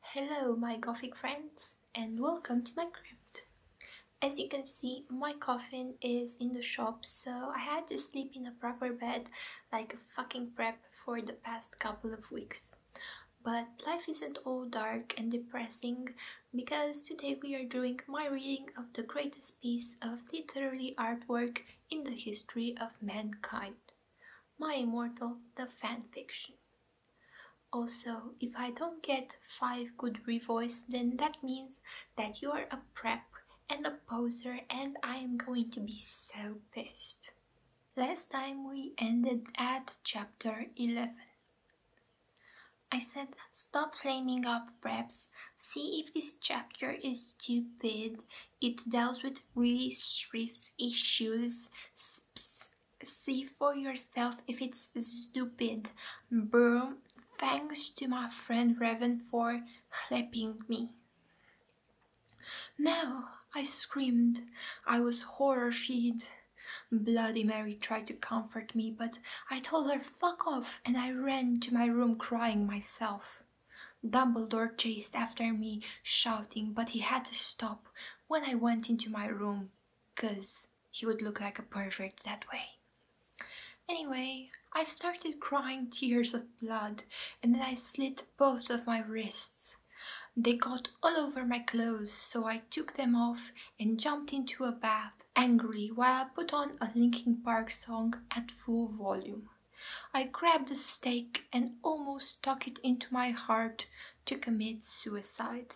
Hello my Gothic friends and welcome to my crypt. As you can see my coffin is in the shop so I had to sleep in a proper bed like a fucking prep for the past couple of weeks. But life isn't all dark and depressing because today we are doing my reading of the greatest piece of literary artwork in the history of mankind. My Immortal, the fanfiction. Also, if I don't get 5 good revoice, then that means that you are a prep and a poser and I am going to be so pissed. Last time we ended at chapter 11. I said stop flaming up preps, see if this chapter is stupid, it deals with really serious issues, Sps, see for yourself if it's stupid, Boom! Thanks to my friend Raven for helping me. No, I screamed. I was horror horrified. Bloody Mary tried to comfort me, but I told her fuck off and I ran to my room crying myself. Dumbledore chased after me, shouting, but he had to stop when I went into my room because he would look like a pervert that way. Anyway, I started crying tears of blood and then I slit both of my wrists. They got all over my clothes, so I took them off and jumped into a bath angry. while I put on a Linkin Park song at full volume. I grabbed a stake and almost stuck it into my heart to commit suicide.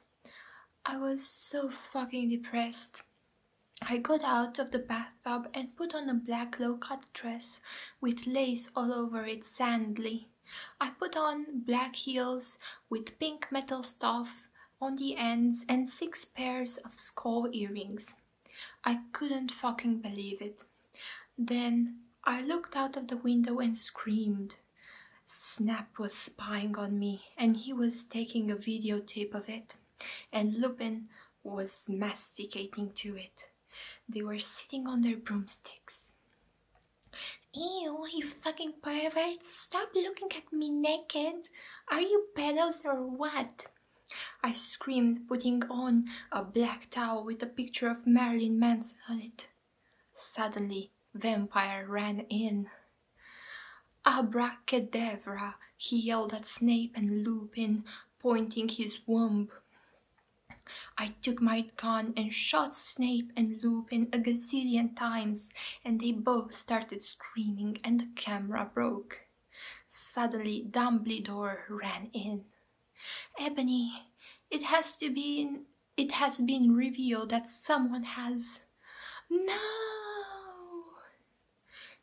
I was so fucking depressed. I got out of the bathtub and put on a black low-cut dress with lace all over it sandly. I put on black heels with pink metal stuff on the ends and six pairs of skull earrings. I couldn't fucking believe it. Then I looked out of the window and screamed. Snap was spying on me and he was taking a videotape of it and Lupin was masticating to it. They were sitting on their broomsticks. Ew, you fucking pervert, stop looking at me naked. Are you pedos or what? I screamed, putting on a black towel with a picture of Marilyn Manson on it. Suddenly Vampire ran in. Abracadabra! he yelled at Snape and Lupin, pointing his wand. I took my gun and shot Snape and Lupin a gazillion times, and they both started screaming and the camera broke. Suddenly Dumbledore ran in. Ebony, it has to be. It has been revealed that someone has. No!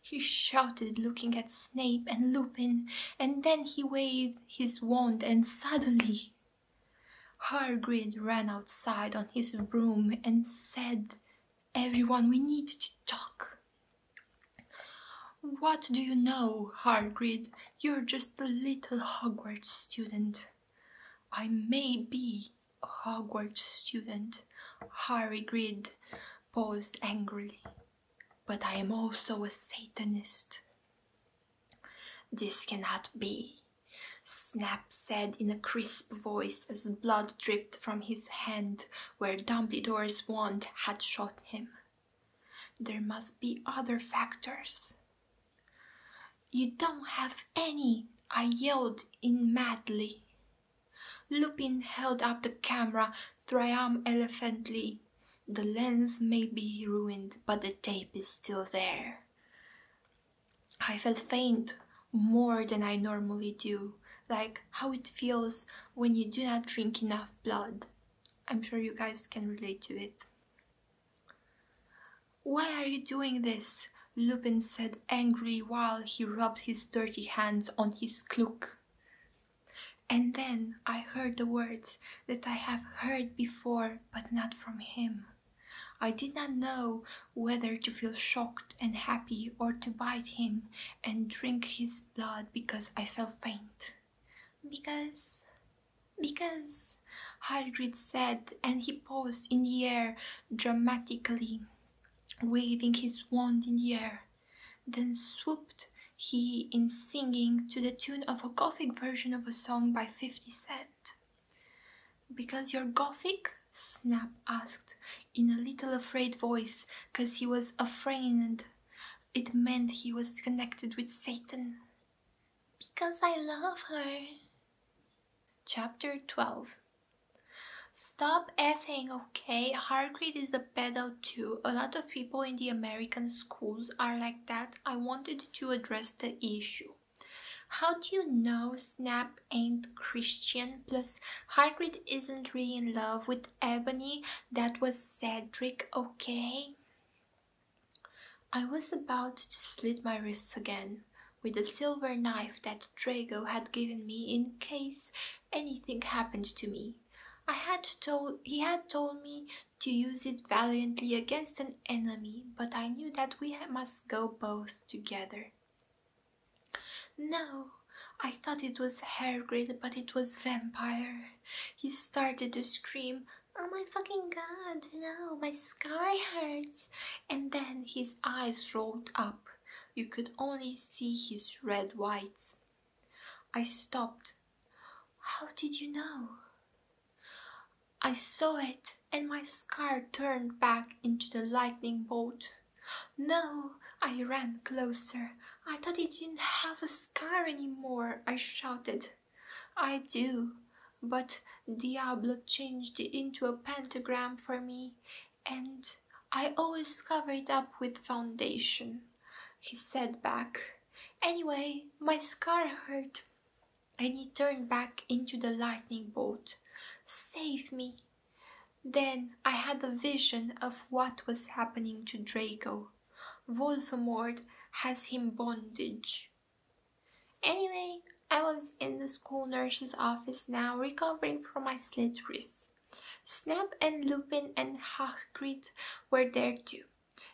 He shouted, looking at Snape and Lupin, and then he waved his wand, and suddenly. Hargrid ran outside on his broom and said, Everyone, we need to talk. What do you know, Hargrid? You're just a little Hogwarts student. I may be a Hogwarts student, Harry Grid paused angrily, but I am also a Satanist. This cannot be, Snap said in a crisp voice as blood dripped from his hand where Dumbledore's wand had shot him. There must be other factors. You don't have any, I yelled in madly. Lupin held up the camera triumphantly. The lens may be ruined, but the tape is still there. I felt faint, more than I normally do, like how it feels when you do not drink enough blood. I'm sure you guys can relate to it. Why are you doing this? Lupin said angrily while he rubbed his dirty hands on his cloak. And then I heard the words that I have heard before, but not from him. I did not know whether to feel shocked and happy or to bite him and drink his blood because I felt faint. Because, because, Hagrid said, and he paused in the air dramatically, waving his wand in the air. Then swooped he in singing to the tune of a Gothic version of a song by 50 Cent. Because you're Gothic? Snap asked in a little afraid voice, because he was afraid. and It meant he was connected with Satan. Because I love her. Chapter 12 Stop effing, okay? Hargreed is a pedo too. A lot of people in the American schools are like that. I wanted to address the issue. How do you know Snap ain't Christian? Plus, Hargreed isn't really in love with Ebony. That was Cedric, okay? I was about to slit my wrists again with the silver knife that Drago had given me in case anything happened to me. I had told he had told me to use it valiantly against an enemy, but I knew that we must go both together. No, I thought it was hair grid, but it was vampire he started to scream, Oh my fucking god, no, my scar hurts. And then his eyes rolled up. You could only see his red whites. I stopped. How did you know? I saw it, and my scar turned back into the lightning bolt. No, I ran closer. I thought he didn't have a scar anymore, I shouted. I do, but Diablo changed it into a pentagram for me, and I always cover it up with foundation, he said back. Anyway, my scar hurt. And he turned back into the lightning bolt. Save me. Then I had a vision of what was happening to Draco. Wolfamord has him bondage. Anyway, I was in the school nurse's office now, recovering from my slit wrists. Snap and Lupin and Hagrid were there too.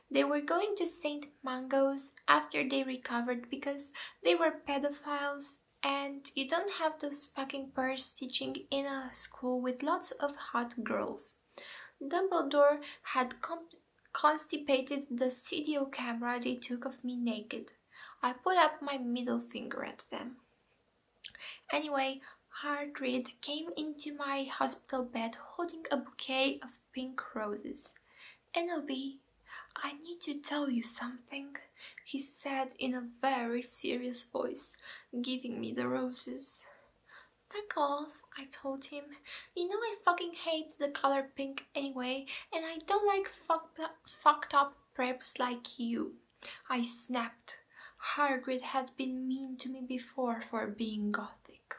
They were going to St. Mangos after they recovered because they were pedophiles and you don't have those fucking pairs teaching in a school with lots of hot girls. Dumbledore had constipated the CDO camera they took of me naked. I put up my middle finger at them. Anyway, Hagrid came into my hospital bed holding a bouquet of pink roses. Enobi, I need to tell you something, he said in a very serious voice, giving me the roses. Fuck off, I told him. You know I fucking hate the color pink anyway, and I don't like fucked up preps like you. I snapped. Hargrid had been mean to me before for being gothic.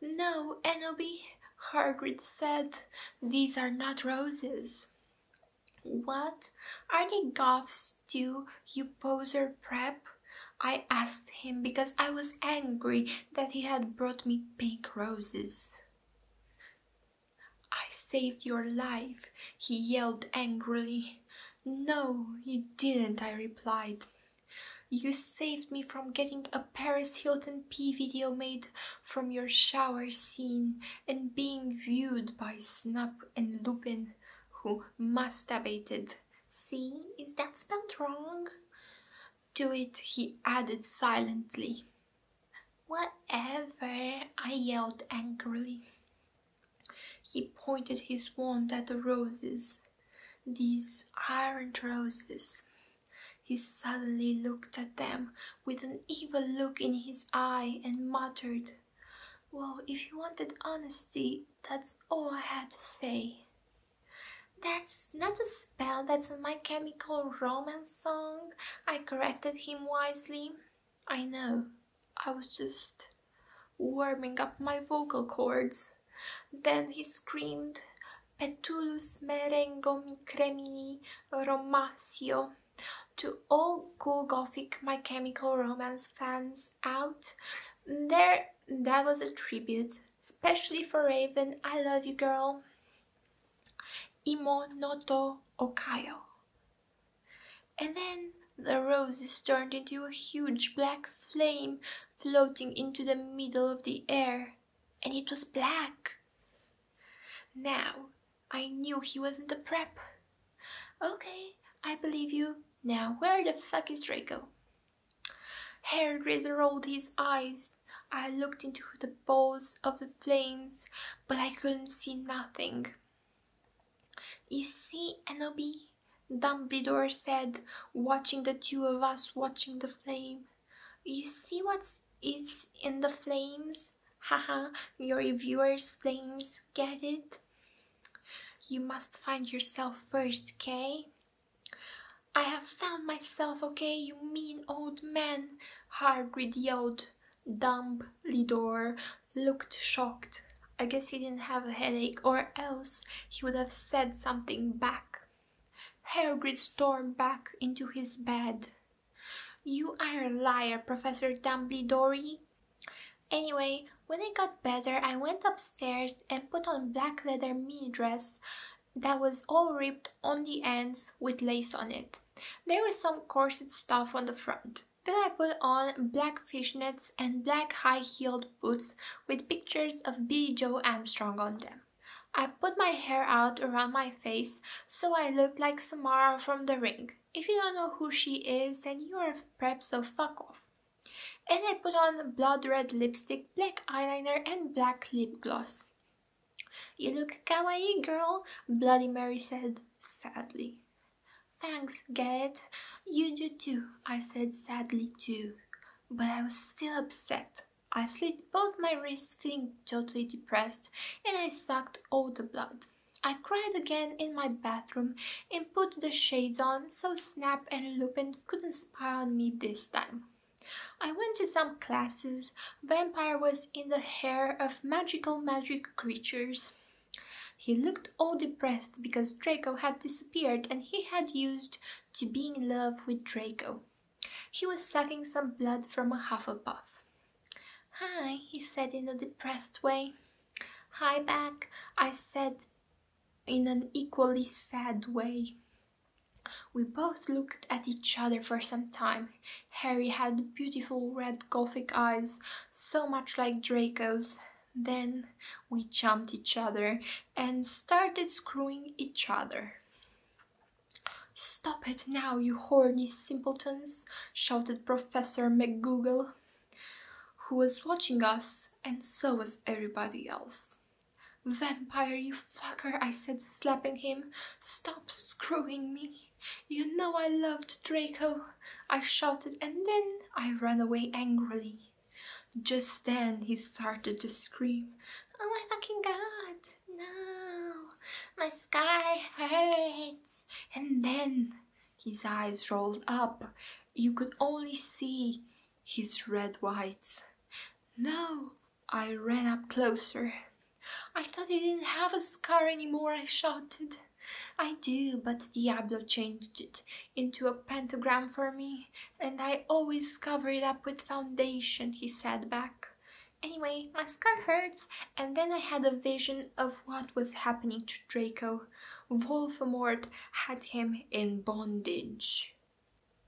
No, Enobi, Hargrid said, these are not roses. What? Are they goths too, you composer prep, I asked him because I was angry that he had brought me pink roses. I saved your life, he yelled angrily. No, you didn't, I replied. You saved me from getting a Paris Hilton P video made from your shower scene and being viewed by Snup and Lupin, who masturbated See, is that spelled wrong? Do it he added silently. Whatever, I yelled angrily. He pointed his wand at the roses. These aren't roses. He suddenly looked at them with an evil look in his eye and muttered, well, if you wanted honesty, that's all I had to say. That's not a spell, that's my chemical romance song. I corrected him wisely. I know, I was just warming up my vocal cords. Then he screamed, Petulus merengo mi romasio. To all cool gothic My Chemical Romance fans, out. There, that was a tribute, especially for Raven, I Love You Girl, Imo Noto Okayo. And then the roses turned into a huge black flame floating into the middle of the air, and it was black. Now I knew he wasn't a prep. Okay, I believe you. Now where the fuck is Draco? Harry rolled his eyes. I looked into the balls of the flames, but I couldn't see nothing. You see, Enobi, Dumbledore said, watching the two of us watching the flame. You see what is in the flames? Haha, your viewers' flames, get it? You must find yourself first, Kay. I have found myself, okay, you mean old man. Hagrid yelled. Dumbledore looked shocked. I guess he didn't have a headache, or else he would have said something back. Hagrid stormed back into his bed. You are a liar, Professor Dumbledore. Anyway, when I got better, I went upstairs and put on black leather mini dress that was all ripped on the ends with lace on it. There was some corset stuff on the front. Then I put on black fishnets and black high-heeled boots with pictures of B. Joe Armstrong on them. I put my hair out around my face so I looked like Samara from The Ring. If you don't know who she is, then you are perhaps so fuck off. And I put on blood red lipstick, black eyeliner and black lip gloss. You look kawaii, girl, Bloody Mary said sadly. Thanks, Gad. You do too, I said sadly too. But I was still upset. I slit both my wrists feeling totally depressed and I sucked all the blood. I cried again in my bathroom and put the shades on so Snap and Lupin couldn't spy on me this time. I went to some classes, Vampire was in the hair of magical magic creatures. He looked all depressed because Draco had disappeared and he had used to be in love with Draco. He was sucking some blood from a Hufflepuff. Hi, he said in a depressed way. Hi back, I said in an equally sad way. We both looked at each other for some time. Harry had beautiful red gothic eyes, so much like Draco's. Then we jumped each other and started screwing each other. Stop it now, you horny simpletons, shouted Professor McGoogle who was watching us, and so was everybody else. Vampire, you fucker, I said, slapping him. Stop screwing me. You know I loved Draco, I shouted, and then I ran away angrily. Just then he started to scream, Oh my fucking god, no, my scar hurts. And then his eyes rolled up you could only see his red whites. No, I ran up closer. I thought you didn't have a scar anymore, I shouted. I do, but Diablo changed it into a pentagram for me, and I always cover it up with foundation, he said back. Anyway, my scar hurts, and then I had a vision of what was happening to Draco how had him in bondage.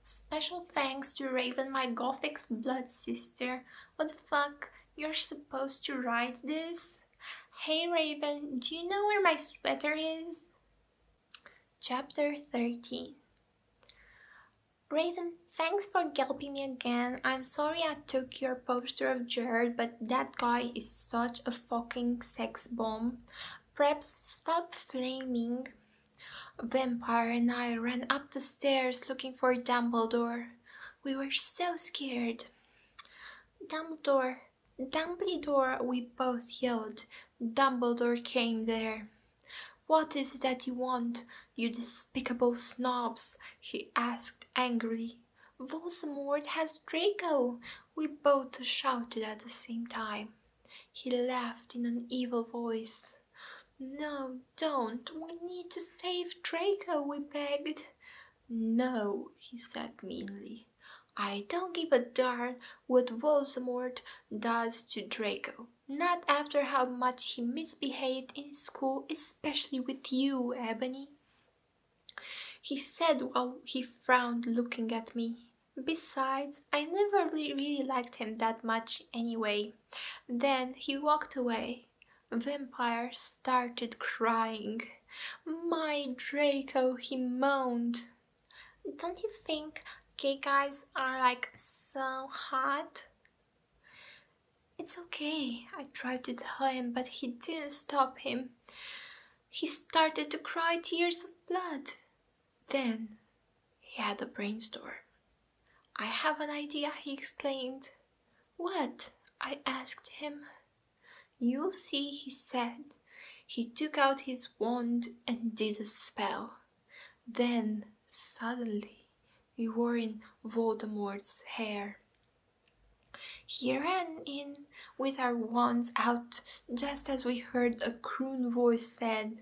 Special thanks to Raven, my Gothic's blood sister. What the fuck? You're supposed to write this? Hey Raven, do you know where my sweater is? Chapter 13 Raven, thanks for helping me again. I'm sorry I took your poster of Jared, but that guy is such a fucking sex bomb. Perhaps stop flaming. Vampire and I ran up the stairs looking for Dumbledore. We were so scared. Dumbledore, Dumbledore, we both yelled. Dumbledore came there. What is it that you want, you despicable snobs? he asked angrily. Voldemort has Draco! We both shouted at the same time. He laughed in an evil voice. No, don't. We need to save Draco, we begged. No, he said meanly. I don't give a darn what Voldemort does to Draco. Not after how much he misbehaved in school, especially with you, Ebony he said while he frowned, looking at me. Besides, I never really liked him that much anyway. Then he walked away. Vampire started crying. My Draco, he moaned. Don't you think gay guys are like so hot? It's okay, I tried to tell him, but he didn't stop him he started to cry tears of blood. Then he had a brainstorm. I have an idea, he exclaimed. What? I asked him. You see, he said. He took out his wand and did a spell. Then, suddenly, we were in Voldemort's hair. He ran in with our wands out just as we heard a croon voice said,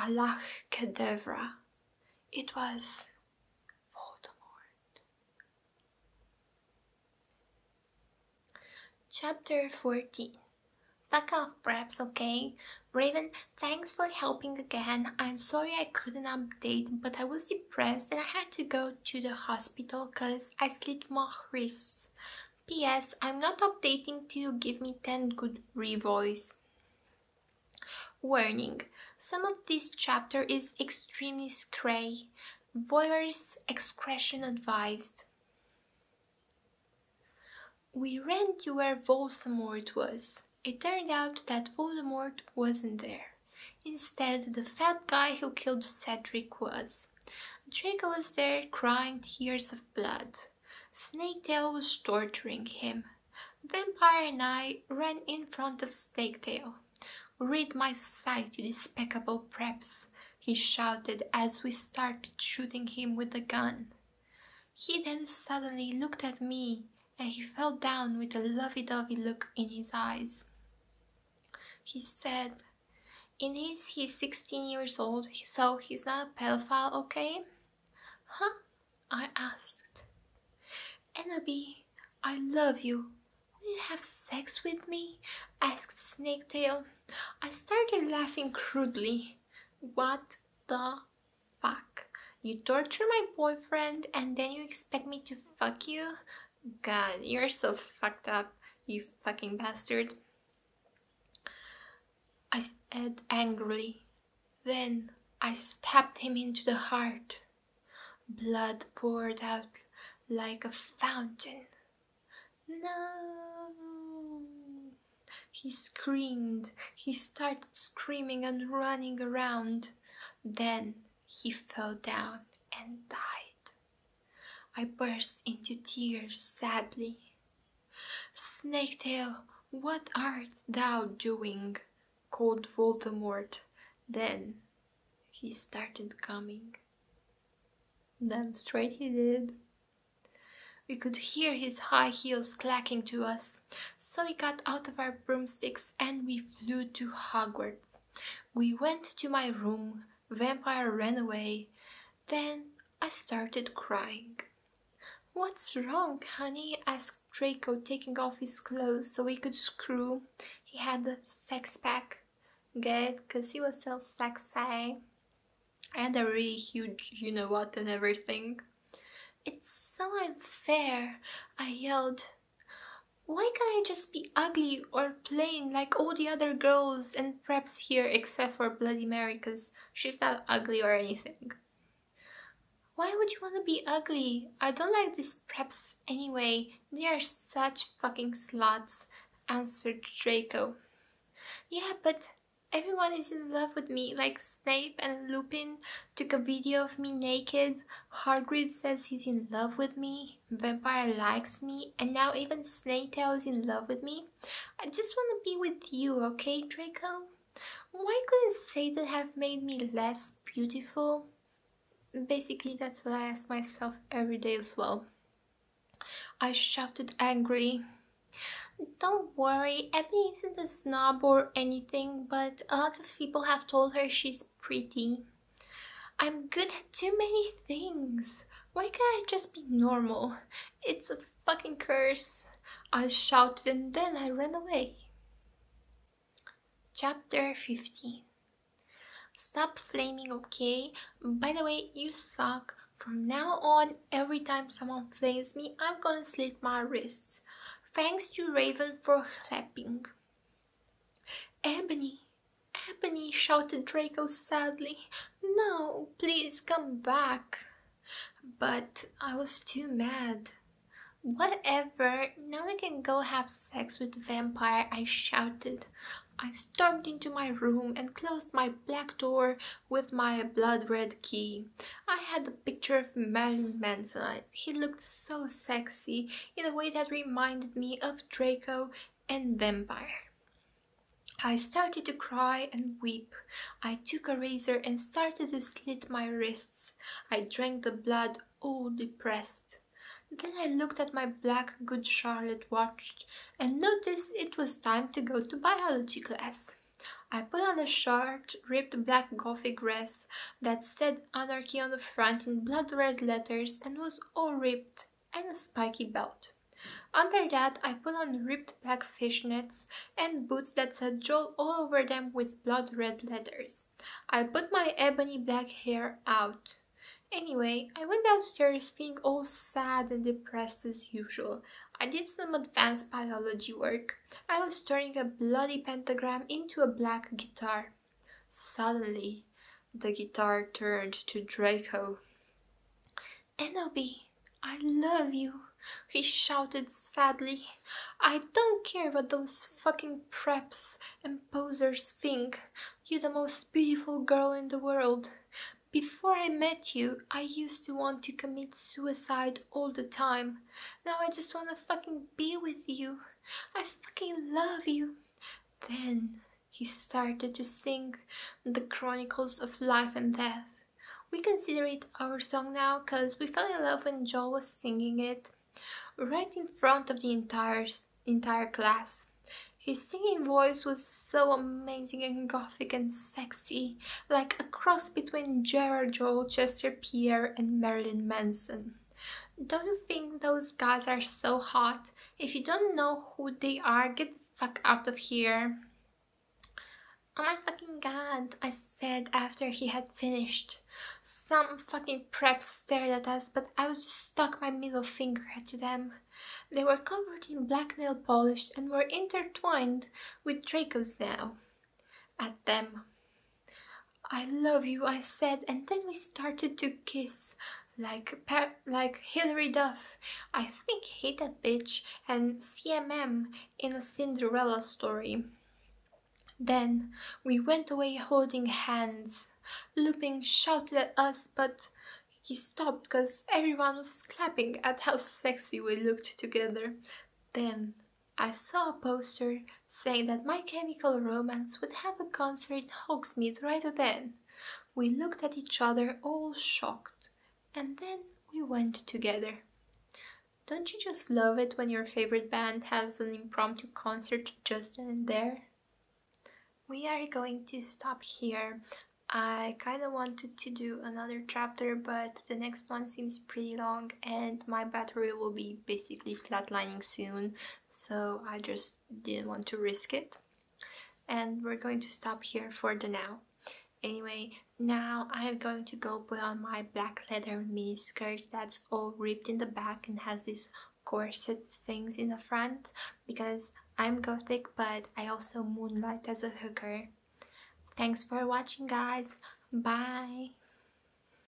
Allah Kedavra. It was Voldemort. Chapter 14 Fuck off, Braps, okay? Raven, thanks for helping again. I'm sorry I couldn't update, but I was depressed and I had to go to the hospital because I slit my wrists. P.S. I'm not updating till you give me 10 good revoys. Warning. Some of this chapter is extremely scray. Voyeurs excretion advised. We ran to where Voldemort was. It turned out that Voldemort wasn't there. Instead, the fat guy who killed Cedric was. Draco was there crying tears of blood. Snaketail was torturing him. Vampire and I ran in front of Snaketail. Rid my sight, you despicable preps, he shouted as we started shooting him with the gun. He then suddenly looked at me and he fell down with a lovey-dovey look in his eyes. He said, In his, he's 16 years old, so he's not a pedophile, okay? Huh? I asked. Ennaby, I love you. Will you have sex with me? asked Snaketail. I started laughing crudely. What the fuck? You torture my boyfriend and then you expect me to fuck you? God, you're so fucked up, you fucking bastard. I said angrily. Then I stabbed him into the heart. Blood poured out like a fountain. No! He screamed. He started screaming and running around. Then he fell down and died. I burst into tears sadly. Snaketail, what art thou doing? called Voldemort. Then he started coming. Damn straight he did. We could hear his high heels clacking to us, so we got out of our broomsticks and we flew to Hogwarts. We went to my room, Vampire ran away, then I started crying. What's wrong, honey? asked Draco, taking off his clothes so he could screw. He had the sex pack. Good, cause he was so sexy. And a really huge you know what and everything. It's so unfair, I yelled. Why can't I just be ugly or plain like all the other girls and preps here except for Bloody Mary she's not ugly or anything? Why would you want to be ugly? I don't like these preps anyway. They are such fucking sluts, answered Draco. Yeah, but everyone is in love with me, like Snape and Lupin took a video of me naked. Hagrid says he's in love with me. Vampire likes me, and now even Snaketail is in love with me. I just want to be with you, okay, Draco? Why couldn't Satan have made me less beautiful? Basically, that's what I ask myself every day as well. I shouted angrily. Don't worry, Ebony isn't a snob or anything, but a lot of people have told her she's pretty. I'm good at too many things. Why can't I just be normal? It's a fucking curse. I shouted and then I ran away. Chapter 15 Stop flaming, okay? By the way, you suck. From now on, every time someone flames me, I'm gonna slit my wrists. Thanks to Raven for helping. Ebony! Ebony! shouted Draco sadly. No, please come back. But I was too mad. Whatever, now I can go have sex with the vampire, I shouted. I stormed into my room and closed my black door with my blood red key. I had a picture of Marilyn Manson he looked so sexy in a way that reminded me of Draco and Vampire. I started to cry and weep. I took a razor and started to slit my wrists. I drank the blood, all depressed. Then I looked at my black Good Charlotte watch and noticed it was time to go to biology class. I put on a short, ripped black gothic dress that said Anarchy on the front in blood red letters and was all ripped and a spiky belt. Under that, I put on ripped black fishnets and boots that said Joel all over them with blood red letters. I put my ebony black hair out. Anyway, I went downstairs feeling all sad and depressed as usual. I did some advanced biology work. I was turning a bloody pentagram into a black guitar. Suddenly, the guitar turned to Draco. Enoby, I love you, he shouted sadly. I don't care what those fucking preps and posers think. You're the most beautiful girl in the world. Before I met you, I used to want to commit suicide all the time. Now I just want to fucking be with you. I fucking love you. Then he started to sing the Chronicles of Life and Death. We consider it our song now because we fell in love when Joel was singing it, right in front of the entire, entire class. His singing voice was so amazing and gothic and sexy, like a cross between Gerard Joel, Chester Pierre and Marilyn Manson. Don't you think those guys are so hot? If you don't know who they are, get the fuck out of here. Oh my fucking god, I said after he had finished. Some fucking preps stared at us, but I was just stuck my middle finger at them. They were covered in black nail polish and were intertwined with Dracos now. At them. I love you, I said, and then we started to kiss like like Hilary Duff. I think Hate That Bitch and CMM in a Cinderella story. Then we went away holding hands. Lupin shouted at us, but he stopped because everyone was clapping at how sexy we looked together. Then I saw a poster saying that My Chemical Romance would have a concert in Hogsmeade right then. We looked at each other all shocked, and then we went together. Don't you just love it when your favorite band has an impromptu concert just in there? We are going to stop here. I kind of wanted to do another chapter, but the next one seems pretty long and my battery will be basically flatlining soon so I just didn't want to risk it and we're going to stop here for the now anyway now I'm going to go put on my black leather mini skirt that's all ripped in the back and has these corset things in the front because I'm gothic but I also moonlight as a hooker thanks for watching guys bye